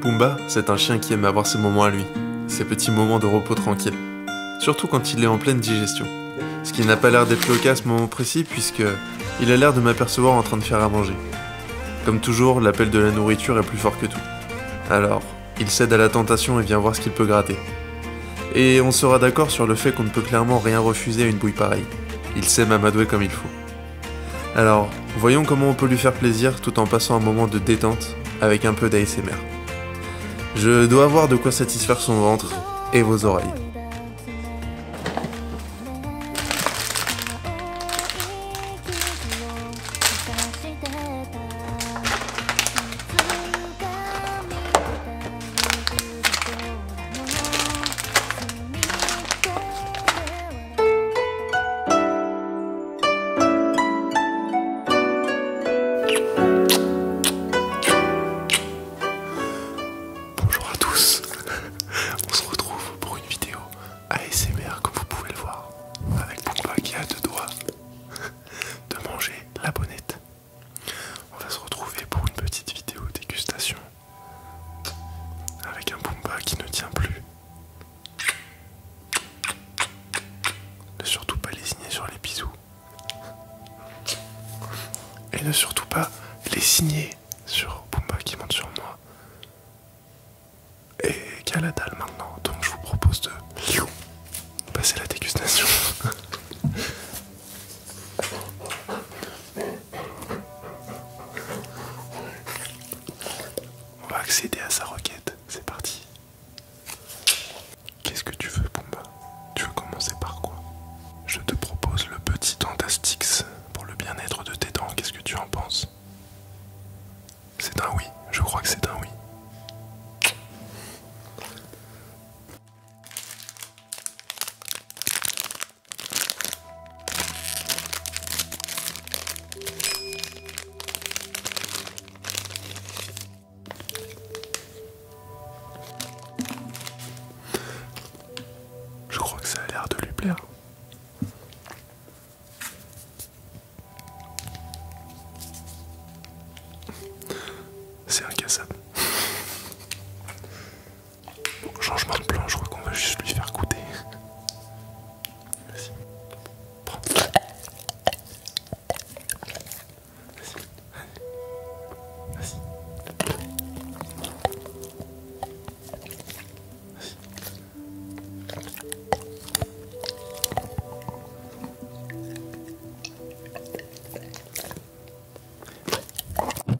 Pumba, c'est un chien qui aime avoir ses moments à lui, ses petits moments de repos tranquille, surtout quand il est en pleine digestion. Ce qui n'a pas l'air d'être le cas à ce moment précis puisque il a l'air de m'apercevoir en train de faire à manger. Comme toujours, l'appel de la nourriture est plus fort que tout. Alors, il cède à la tentation et vient voir ce qu'il peut gratter. Et on sera d'accord sur le fait qu'on ne peut clairement rien refuser à une bouille pareille. Il s'aime à m'adouer comme il faut. Alors, voyons comment on peut lui faire plaisir tout en passant un moment de détente avec un peu d'ASMR. Je dois avoir de quoi satisfaire son ventre et vos oreilles. Bonjour à tous, on se retrouve pour une vidéo ASMR comme vous pouvez le voir, avec Pumba qui a deux doigts de manger la bonnette. On va se retrouver pour une petite vidéo dégustation avec un Pumba qui ne tient plus. Ne surtout pas les signer sur les bisous. Et ne surtout pas les signer sur Pumba qui monte sur moi. Et qu'à la dalle maintenant, donc je vous propose de passer la dégustation. On va accéder à sa requête, c'est parti. Qu'est-ce que tu veux, Pumba Tu veux commencer par quoi Je te propose le petit Dentastix pour le bien-être de tes dents, qu'est-ce que tu en penses C'est un oui, je crois que c'est un oui. Je crois que ça a l'air de lui plaire. C'est un incassable changement de plan, je crois qu'on va juste lui faire goûter.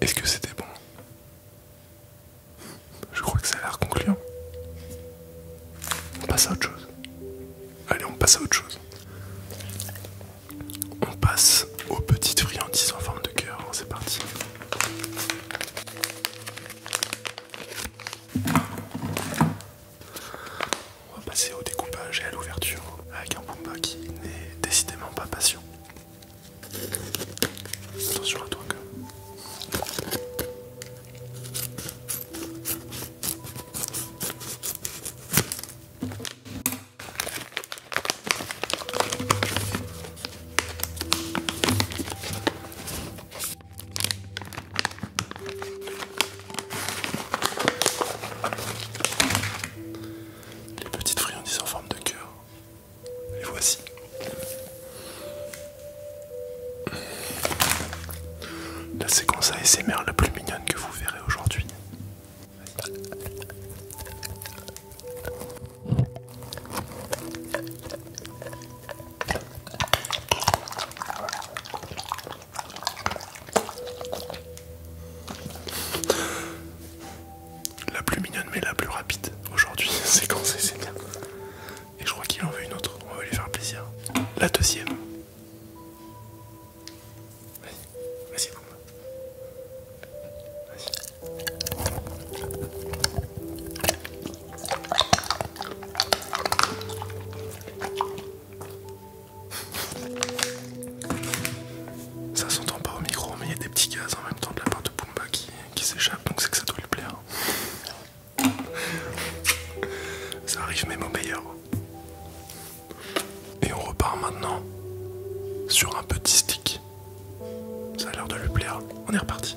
Est-ce que c'était bon Je crois que ça a l'air concluant. On passe à autre chose. Allez, on passe à autre chose. On passe aux petites friandises en forme de cœur. C'est parti. On va passer au découpage et à l'ouverture avec un Pumba qui n'est décidément pas patient. Attention à toi quand les petites friandises en forme de cœur. Les voici. La séquence ASMR la plus mignonne que vous verrez aujourd'hui. La plus mignonne mais la plus rapide aujourd'hui, c'est quand c'est bien. Et je crois qu'il en veut une autre, on va lui faire plaisir. La deuxième. Vas-y, vas-y, boum. Vas-y. Ça s'entend pas au micro, mais il y a des petits gaz en même temps de la part de Pumba qui, qui s'échappe, donc c'est que ça doit lui plaire. Ça arrive même au meilleur. Et on repart maintenant sur un petit stick. Ça a l'air de lui plaire. On est reparti.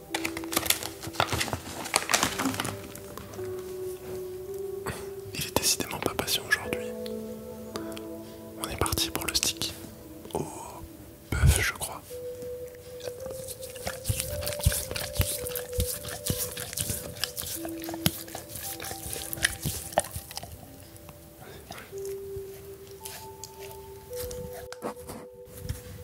Il est décidément pas patient aujourd'hui. On est parti pour le stick. Au bœuf, je crois.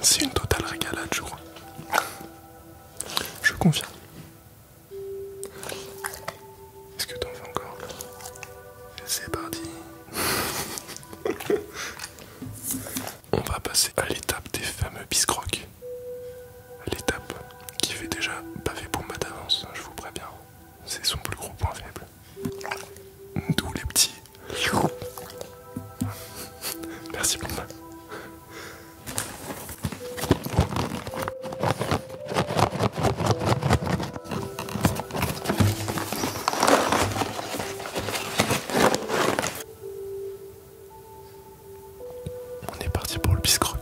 C'est une totale régalade, je crois. Je confirme. Est-ce que t'en fais encore C'est parti. On va passer à l'étape des fameux biscrocs. L'étape qui fait déjà pavé pour ma d'avance, je vous préviens. C'est son plus gros point faible. D'où les petits Merci beaucoup On est parti pour le biscroc.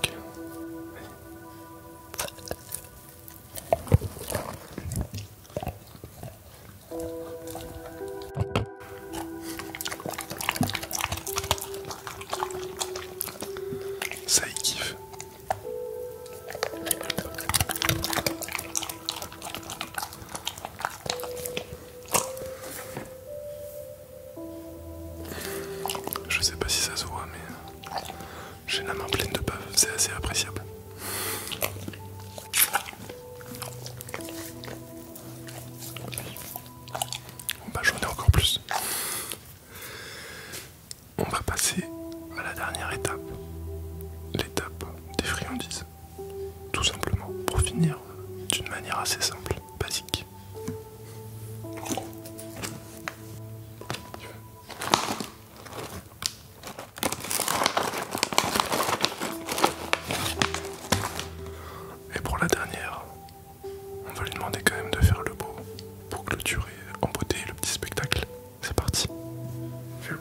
Ça y kiffe. Je sais pas si ça se voit mais j'ai la main pleine de bave, c'est assez appréciable. On va j'en encore plus. On va passer à la dernière étape, l'étape des friandises. Tout simplement pour finir d'une manière assez simple, basique. Et pour la dernière, on va lui demander quand même de faire le beau pour clôturer en beauté le petit spectacle. C'est parti. Fais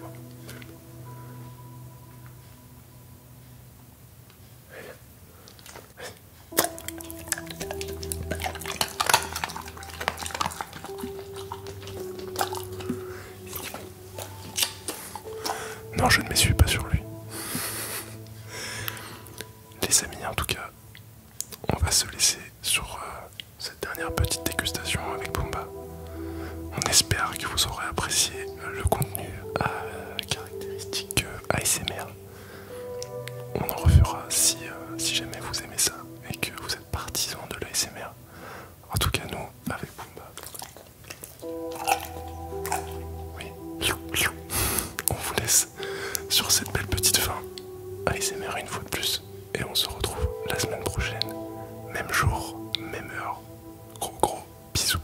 non, je ne suis pas sur lui. Les amis, en tout cas, on va se laisser sur euh, cette dernière petite dégustation avec Pumba. On espère que vous aurez apprécié le contenu à euh, caractéristique euh, ASMR. On en refera si, si jamais vous aimez ça et que vous êtes partisans de l'ASMR. En tout cas, nous, avec Boomba. Oui, on vous laisse sur cette belle petite fin. ASMR une fois de plus. Et on se retrouve la semaine prochaine. Même jour, même heure. Gros gros bisous.